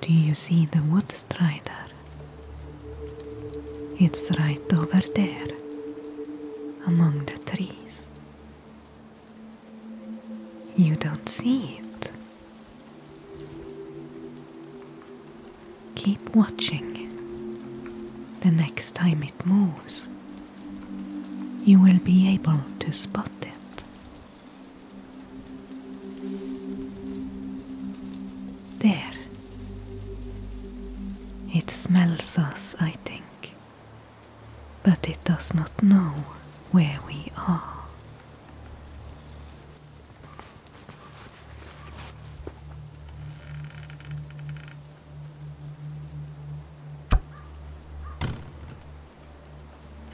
Do you see the wood strider? It's right over there, among the trees. You don't see it, Keep watching. The next time it moves, you will be able to spot it. There. It smells us, I think, but it does not know where we are.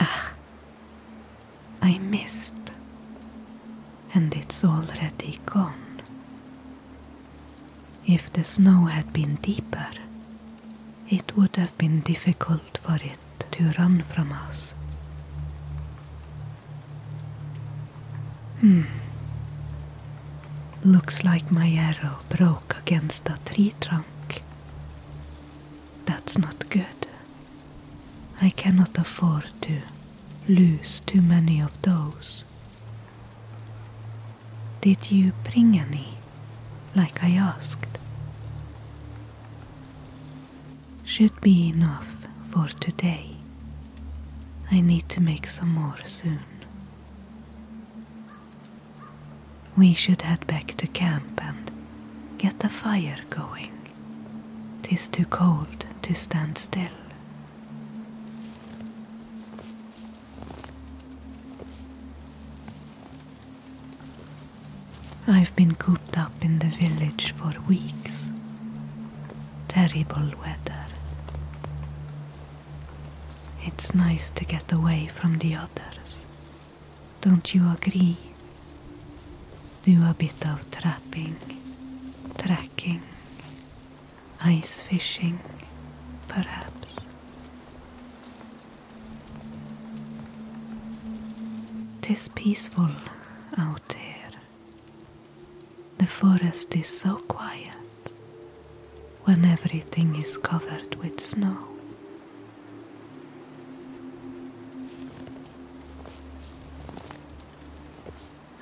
Ah, I missed, and it's already gone. If the snow had been deeper, it would have been difficult for it to run from us. Hmm. Looks like my arrow broke against a tree trunk. That's not good. I cannot afford to lose too many of those. Did you bring any, like I asked? should be enough for today. I need to make some more soon. We should head back to camp and get the fire going. Tis too cold to stand still. I've been cooped up in the village for weeks. Terrible weather. It's nice to get away from the others. Don't you agree? Do a bit of trapping, tracking, ice fishing, perhaps. Tis peaceful out here. The forest is so quiet when everything is covered with snow.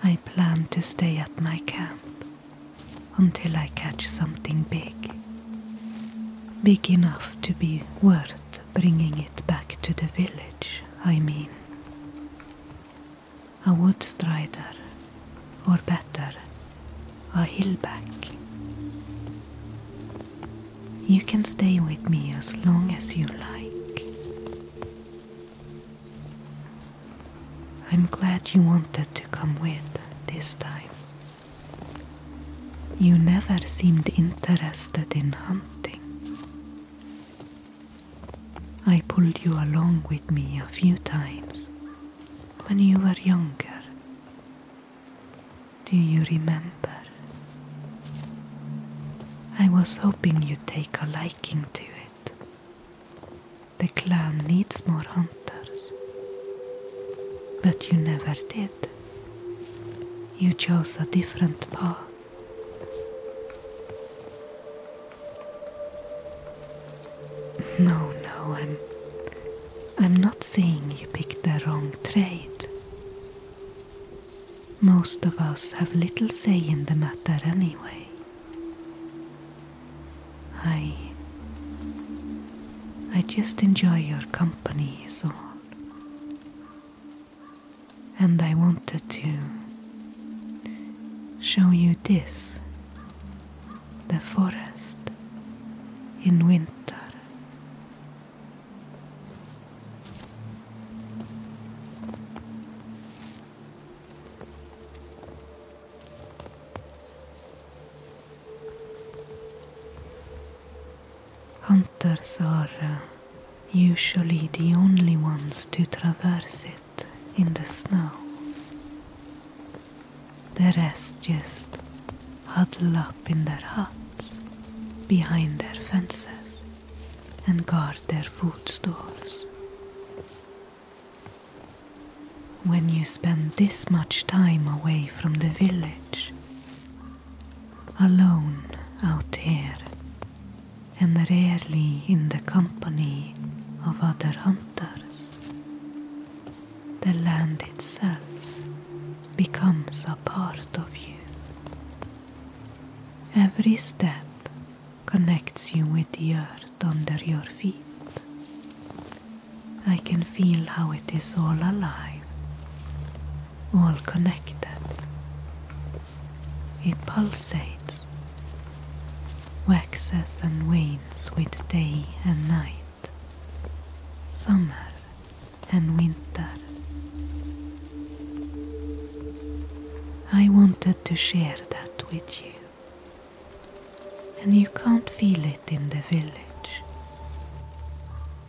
I plan to stay at my camp until I catch something big. Big enough to be worth bringing it back to the village. I mean. A wood strider, or better, a hillback. You can stay with me as long as you like. I'm glad you wanted to come with this time. You never seemed interested in hunting. I pulled you along with me a few times when you were younger. Do you remember? I was hoping you'd take a liking to it. The clan needs more hunters. But you never did. You chose a different path. No, no, I'm. I'm not saying you picked the wrong trade. Most of us have little say in the matter anyway. I. I just enjoy your company, is all and I wanted to show you this the forest in winter. Hunters are. Uh, usually the only ones to traverse it in the snow. The rest just huddle up in their huts behind their fences and guard their food stores. When you spend this much time away from the village, alone out here and rarely in the company of other hunters. The land itself becomes a part of you. Every step connects you with the earth under your feet. I can feel how it is all alive, all connected, it pulsates, waxes and wanes with day and night, summer and winter. I wanted to share that with you, and you can't feel it in the village.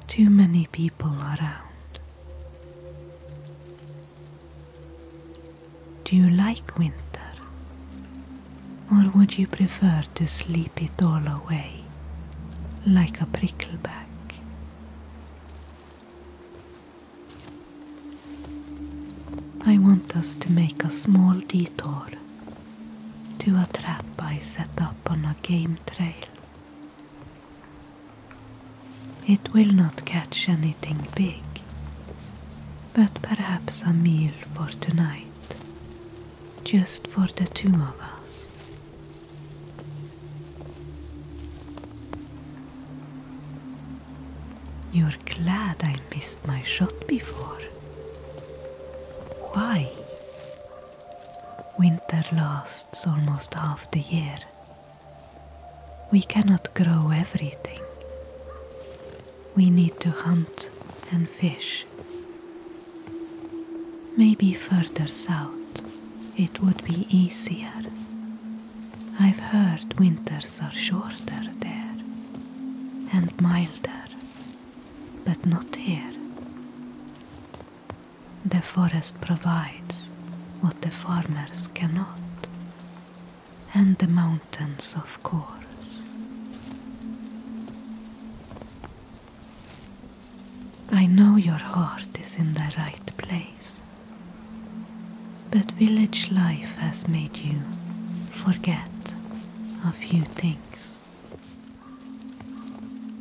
Too many people around. Do you like winter? Or would you prefer to sleep it all away like a prickleback? I want us to make a small detour to a trap I set up on a game trail it will not catch anything big, but perhaps a meal for tonight, just for the two of us. You're glad I missed my shot before. Why? Winter lasts almost half the year, we cannot grow everything. We need to hunt and fish. Maybe further south it would be easier. I've heard winters are shorter there and milder, but not here. The forest provides what the farmers cannot, and the mountains, of course. I know your heart is in the right place, but village life has made you forget a few things.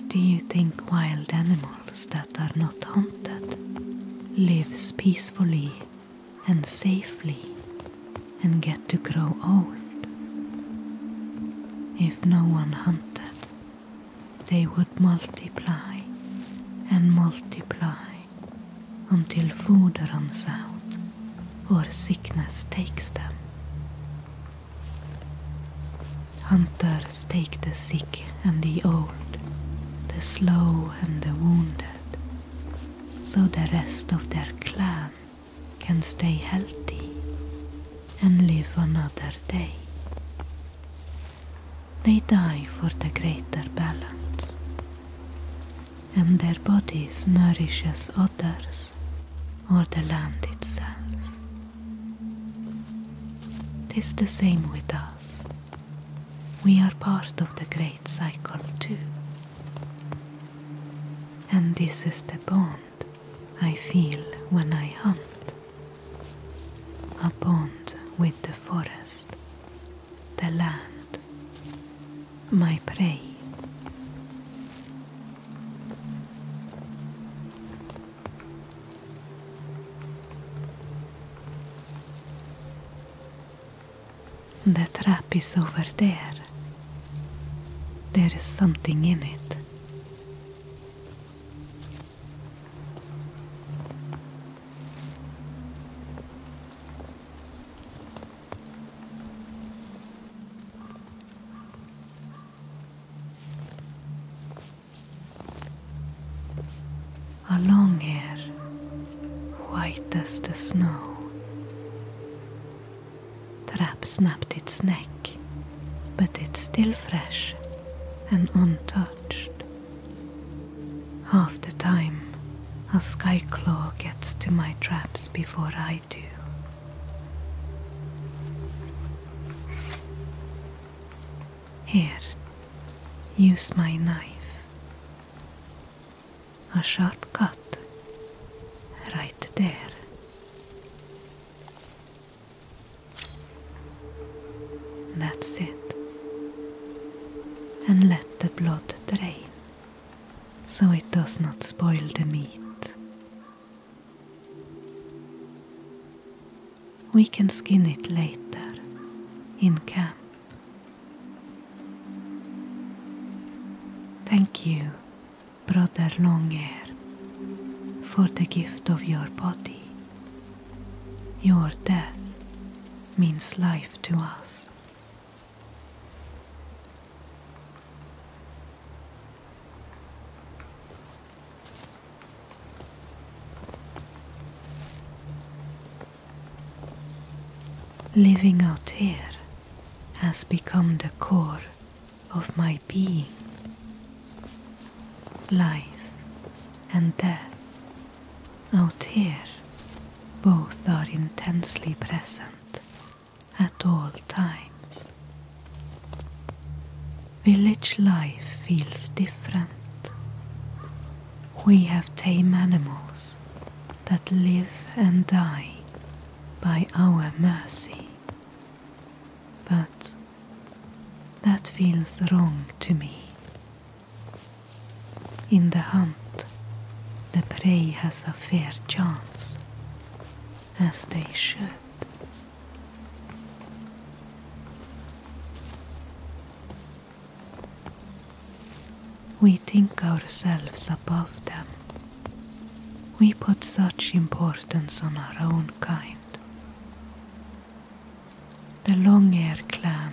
Do you think wild animals? that are not hunted lives peacefully and safely and get to grow old. If no one hunted, they would multiply and multiply until food runs out or sickness takes them. Hunters take the sick and the old, the slow and the wounded, so the rest of their clan can stay healthy and live another day. They die for the greater balance, and their bodies nourishes others or the land itself. Tis the same with us we are part of the great cycle too. And this is the bond I feel when I hunt a bond with the forest, the land, my prey. The trap is over there. There is something in it. A long hair, white as the snow. The wrap snapped its neck, but it's still fresh and untouched. Half the time, a sky claw gets to my traps before I do. Here, use my knife. A sharp cut, right there. That's it. And let the blood drain, so it does not spoil the meat. We can skin it later in camp. Thank you, Brother Longear, for the gift of your body. Your death means life to us. Living out here has become the core of my being. Life and death out here both are intensely present at all times. Village life feels different. We have tame animals that live and die by our mercy. But that feels wrong to me. In the hunt, the prey has a fair chance, as they should. We think ourselves above them. We put such importance on our own kind. The Long Longair clan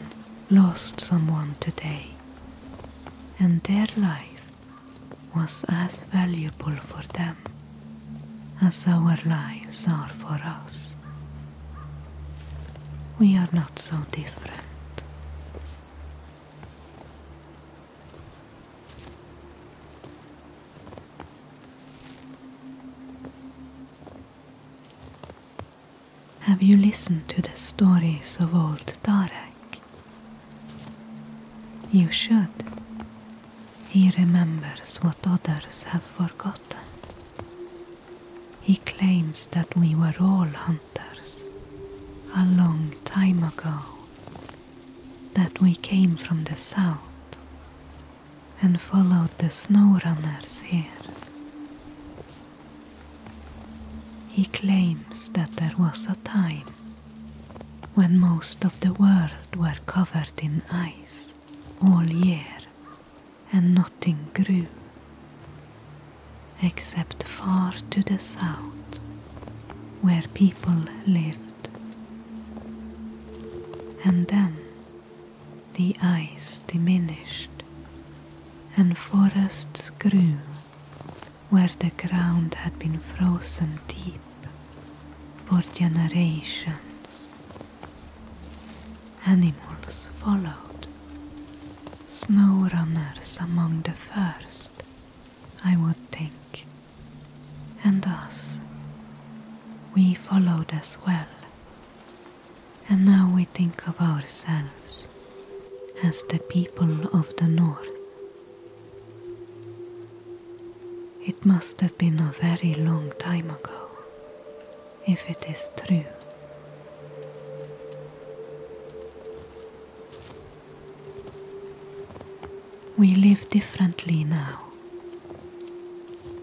lost someone today, and their life was as valuable for them as our lives are for us. We are not so different. Have you listened to the stories of old Darek? You should. He remembers what others have forgotten. He claims that we were all hunters a long time ago, that we came from the south and followed the snow runners here. He claims that there was a time when most of the world were covered in ice all year and nothing grew except far to the south where people lived. And then the ice diminished and forests grew where the ground had been frozen deep for generations. Animals followed. Snow runners among the first, I would think. And us. We followed as well. And now we think of ourselves as the people of the north. It must have been a very long time ago if it is true. We live differently now.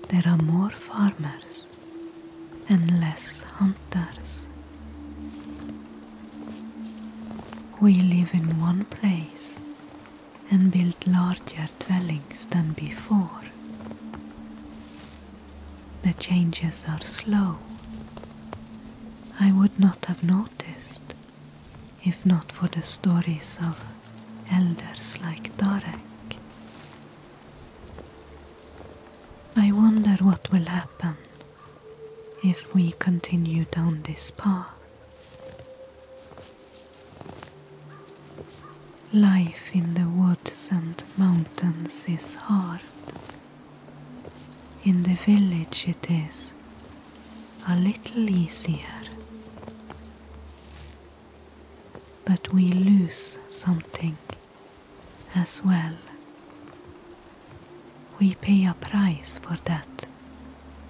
There are more farmers and less hunters. We live in one place and build larger dwellings than before. The changes are slow. I would not have noticed if not for the stories of elders like Darek. I wonder what will happen if we continue down this path. Life in the woods and mountains is hard. In the village it is a little easier. But we lose something as well. We pay a price for that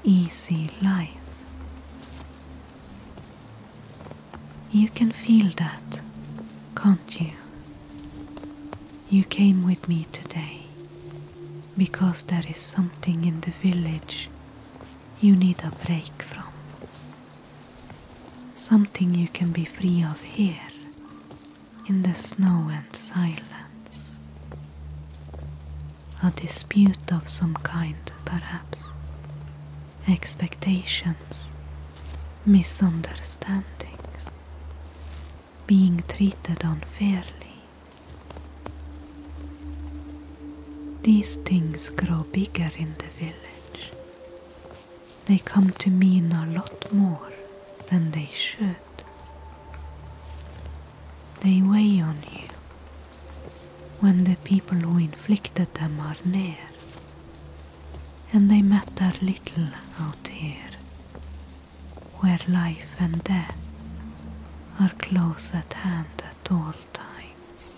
easy life. You can feel that, can't you? You came with me today because there is something in the village you need a break from. Something you can be free of here in the snow and silence. A dispute of some kind, perhaps. Expectations misunderstandings, being treated unfairly. These things grow bigger in the village. They come to mean a lot more than they should. They weigh on you when the people who inflicted them are near and they matter little out here, where life and death are close at hand at all times.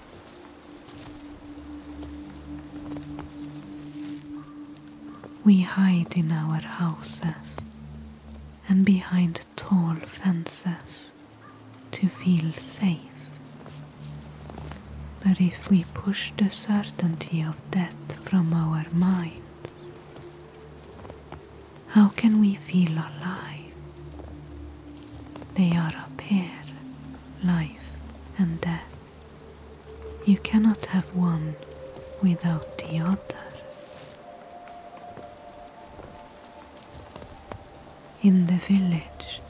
We hide in our houses and behind tall fences to feel safe but if we push the certainty of death from our minds, how can we feel alive? They are up here, life and death. You cannot have one without the other. In the village,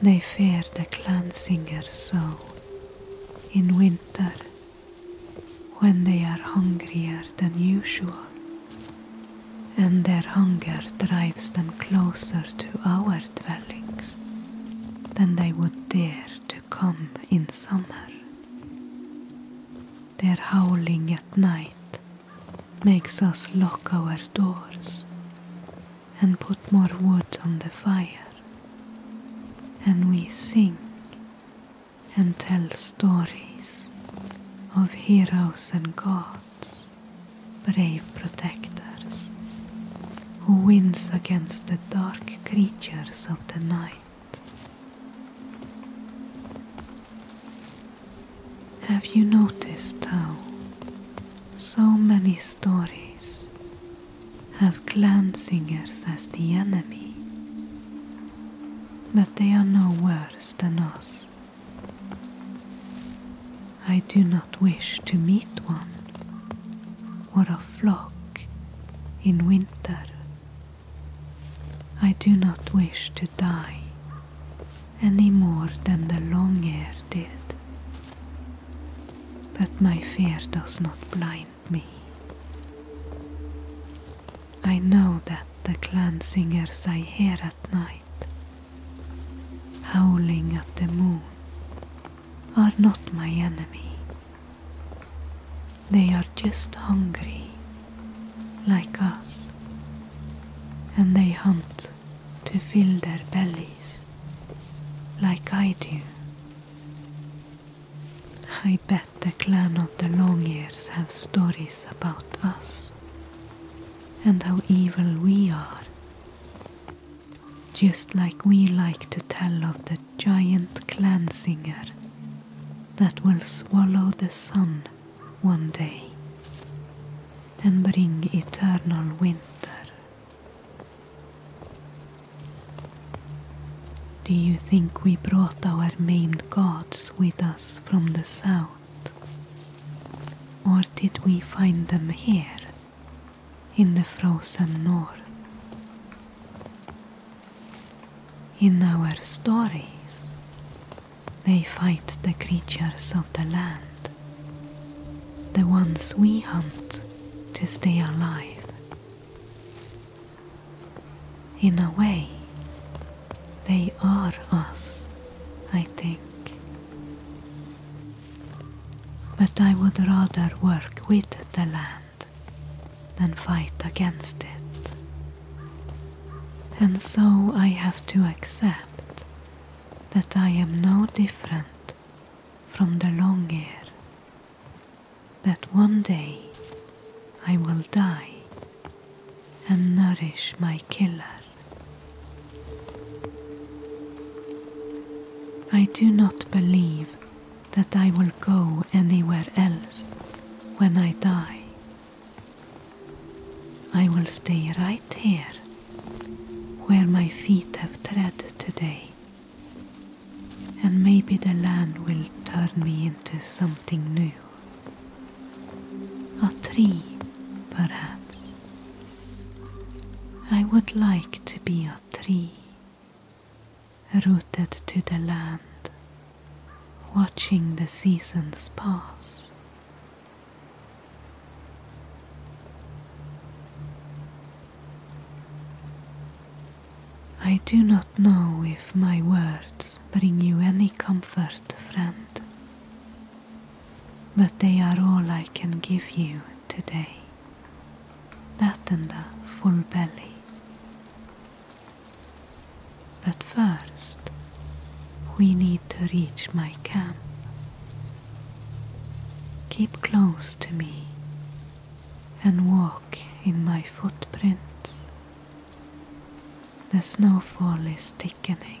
they fear the clan singer so in winter when they are hungrier than usual, and their hunger drives them closer to our dwellings than they would dare to come in summer. Their howling at night makes us lock our doors and put more wood on the fire, and we sing and tell stories of heroes and gods, brave protectors, who wins against the dark creatures of the night. Have you noticed how so many stories have clansingers as the enemy, but they are no worse than us. I do not wish to meet one or a flock in winter. I do not wish to die any more than the long air did but my fear does not blind me. I know that the clan singers I hear at night, howling at the moon, are not my enemy. They are just hungry, like us, and they hunt to fill their bellies like I do. I bet the clan of the Longears have stories about us and how evil we are. Just like we like to tell of the giant clan singer that will swallow the sun one day and bring eternal winter do you think we brought our maimed gods with us from the south? Or did we find them here, in the frozen north? In our stories, they fight the creatures of the land the ones we hunt to stay alive. In a way, they are us, I think. But I would rather work with the land than fight against it. And so I have to accept that I am no different from the long air that one day I will die and nourish my killer. I do not believe that I will go anywhere else when I die. I will stay right here where my feet have tread today. And maybe the land will turn me into something new. A tree, perhaps. I would like to be a tree, rooted to the land, watching the seasons pass. I do not know if my words bring you any comfort, friend, but they are all I can give you today. That and full belly. But first, we need to reach my camp. Keep close to me and walk in my footprints. The snowfall is thickening.